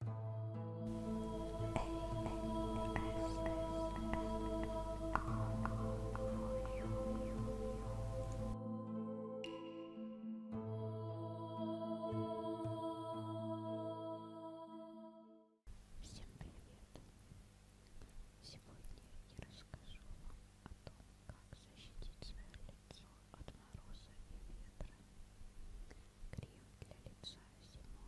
Всем привет! Сегодня я расскажу вам о том, как защитить свое лицо от мороза и ветра. Крем для лица зимой.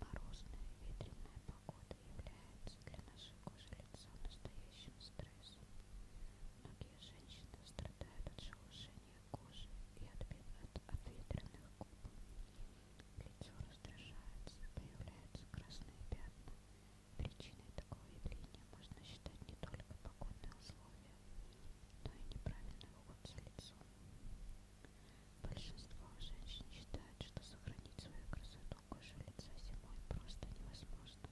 Морозная ветреная погода является для нашей кожи лица настоящим стрессом. Многие женщины страдают от шелушения кожи и от, от, от ветреных губ. Лицо раздражается, появляются красные пятна. Причиной такого явления можно считать не только погодные условия, но ну и неправильный уход за лицом. Большинство женщин считают, что сохранить свою красоту кожи лица зимой просто невозможно.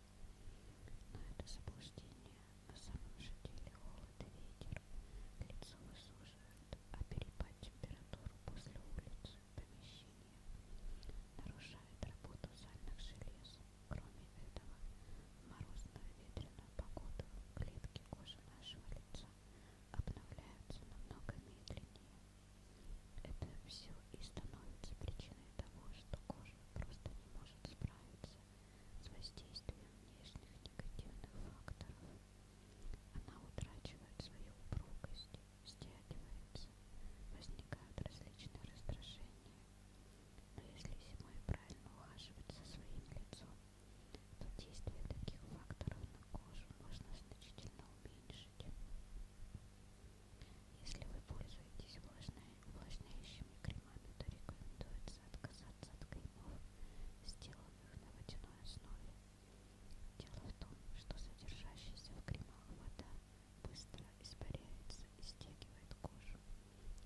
Но это заблуждение. На самом же деле холод и ветер лицо высушивают, а перепад температуры после улицы, помещения нарушает работу сальных желез. Кроме этого, в морозную ветреную погоду клетки кожи нашего лица обновляются намного медленнее. Это все и становится причиной того, что кожа просто не может справиться с воздействием внешних негативных факторов. Она утрачивает свою упругость, стягивается, возникают различные раздражения но если зимой правильно ухаживать за своим лицом, то действие таких факторов на кожу можно значительно уменьшить. Если вы пользуетесь увлажняющими кремами, то рекомендуется отказаться от кремов, сделанных на водяной основе. Дело в том, что содержащаяся в кремах вода быстро испаряется и стягивает кожу.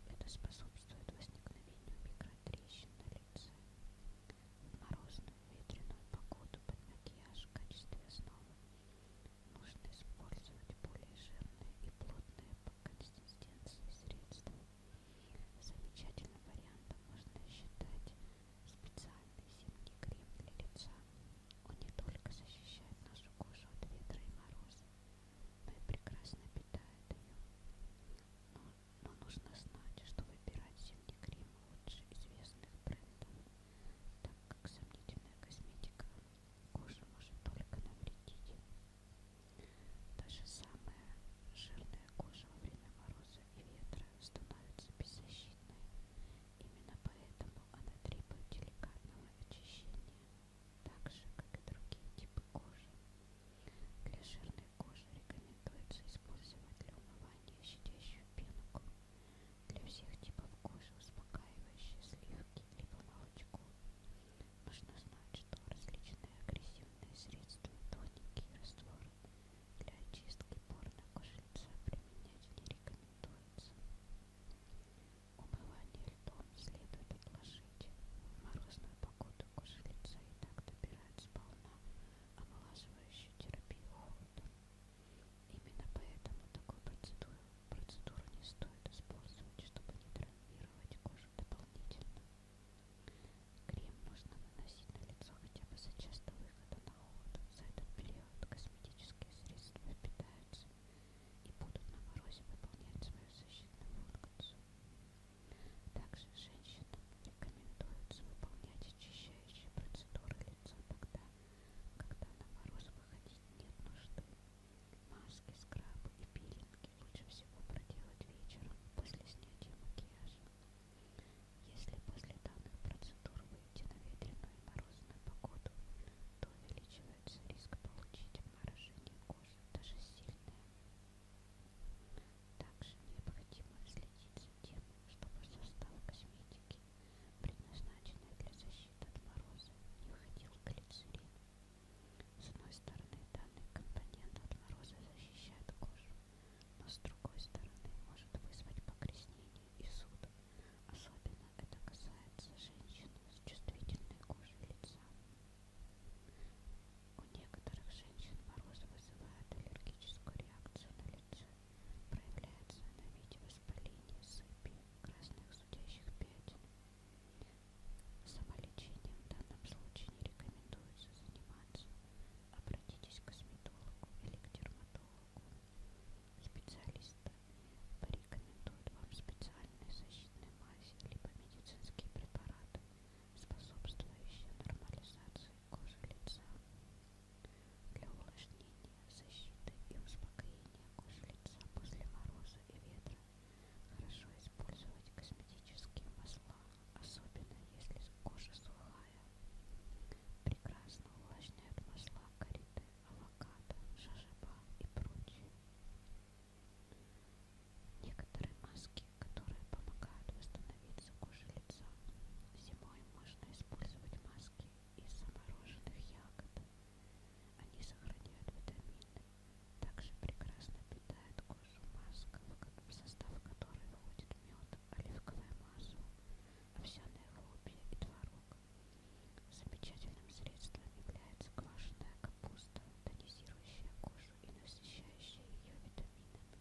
Это способствует возникновению микротрещин на лице. В морозную ветреную погоду под макияж в качестве основы нужно использовать более жирные и плотные по консистенции средства. Замечательным вариантом можно считать специальный зимний крем для лица. Он не только защищает нашу кожу от ветра и мороза, прекрасно питает ее. Но, но нужно знать, что выбирать зимний крем лучше известных брендов, так как сомнительная косметика коже может только навредить. Даже самая жирная кожа во время мороза и ветра становится беззащитной. Именно поэтому она требует деликатного очищения так же, как и другие типы кожи. Для жирной кожи рекомендуется использовать для умывания щадящую пенку, для всех типов кожи успокаивающие сливки либо молочко. Нужно знать, что различные агрессивные средства, тоники и растворы для очистки порно кожи лица применять не рекомендуется. Умывание льдом следует отложить. В морозную погоду кожа лица и так добирает сполна омолаживающую терапию холодом. Именно поэтому такую процедуру, процедуру не стоит использовать, чтобы не травмировать кожу дополнительно. Крем нужно наносить на лицо хотя бы за час до выхода на холод. За этот период косметические средства впитаются и будут на морозе выполнять свою защитную функцию. Также женщинам рекомендуется выполнять очищающие процедуры лица тогда, когда на мороз выходить нет нужды. Маски, скрабы и пилинги лучше всего проделать вечером после снятия макияжа. Если после данных процедур выйти на ветреную и морозную погоду, то увеличивается риск получить обморожение кожи, даже сильное. Также необходимо следить за тем, чтобы состав косметики, предназначенный для защиты от мороза, не входил глицерин. С одной стороны, данный компонент от мороза защищает кожу, но с другой стороны может вызвать покраснение и суд, особенно это касается женщин с чувствительной кожей лица. У некоторых женщин мороз вызывает аллергическую реакцию на лице. Проявляется она в виде воспаления, сыпи, красных зудящих пятен. Самолечением в данном случае не рекомендуется заниматься. Обратитесь к косметологу или к дерматологу. Специалисты порекомендуют вам специальные защитные мази либо медицинские препараты, способствующие нормализации кожи лица. Для увлажнения, защиты и успокоения кожи лица после мороза и ветра хорошо использовать косметические масла, особенно если кожа сухая. Прекрасно увлажняют масла карите, авокадо, шашиба и прочее. Некоторые маски, которые помогают восстановиться коже лица. Зимой можно использовать маски из замороженных ягод. Они сохраняют витамины. Также прекрасно питают кожу маска, в состав которой входит мед, оливковое масло, овсяные хлопья и творог. Замечательным средством является квашеная капуста, тонизирующая кожу и насыщающая ее витаминами.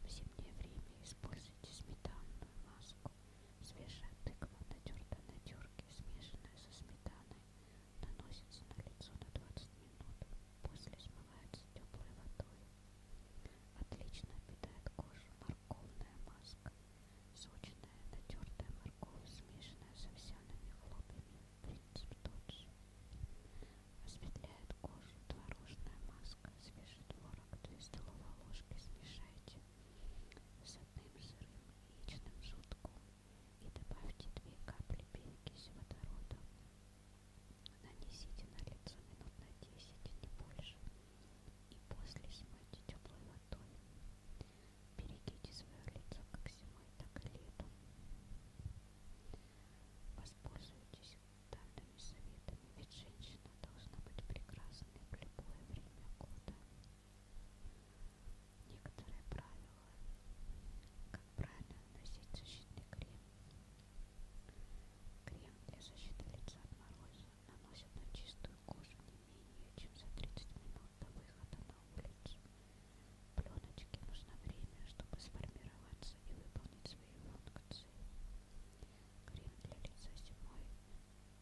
В зимнее время используйте сметанную маску. Свежая тыква, натертая на терке, смешанная со сметаной, наносится на лицо на 20 минут, после смывается теплой водой. Отлично питает кожу морковная маска, сочная, натертая морковь, смешанная с овсяными хлопьями, принцип тот же. Осветляет кожу творожная маска, свежий творог, 2 столовые ложки смешайте с одним сырым яичным желтком и добавьте 2 капли перекиси водорода. Нанесите на лицо минут на 10, не больше и после смойте теплой водой. Берегите свое лицо как зимой, так и летом. Воспользуйтесь данными советами, ведь женщина должна быть прекрасной в любое время года. Некоторые правила, как правильно наносить защитный крем, Крем для защиты лица от мороза наносят на чистую кожу не менее чем за 30 минут до выхода на улицу. Пленочке нужно время, чтобы сформироваться и выполнить свои функции. Крем для лица зимой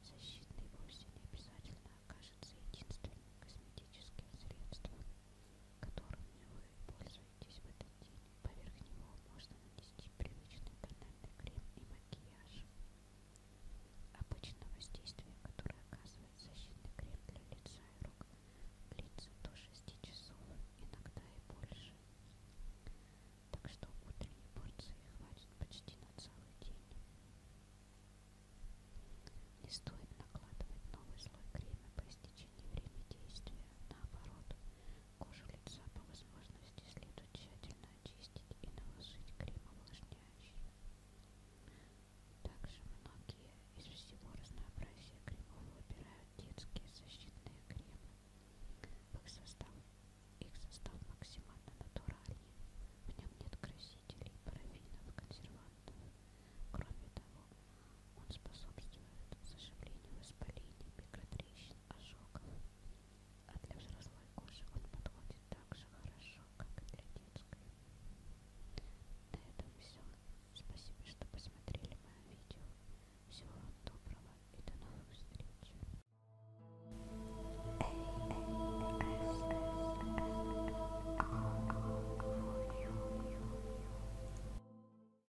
защитный вовсе не обязательно окажется единственным косметическим средством, которым вы пользуетесь в этом Поверх него можно нанести привычный тональный крем и макияж. Обычно воздействие, которое оказывает защитный крем для лица и рук, длится до 6 часов, иногда и больше. Так что утренней порции хватит почти на целый день. Не стоит накладывать новый слой крема по истечении времени действия. Наоборот, Кожу лица по возможности следует тщательно очистить и наложить крем увлажняющий. Также многие из всего разнообразия кремов выбирают детские защитные кремы. Их состав, их состав максимально натуральный. В нем нет красителей, парафинов, консервантов. Кроме того, он способствует заживлению воспалений, микротрещин, ожогов. А для взрослой кожи он подходит так же хорошо, как и для детской. На этом все. Спасибо, что посмотрели мое видео. Всего вам доброго и до новых встреч.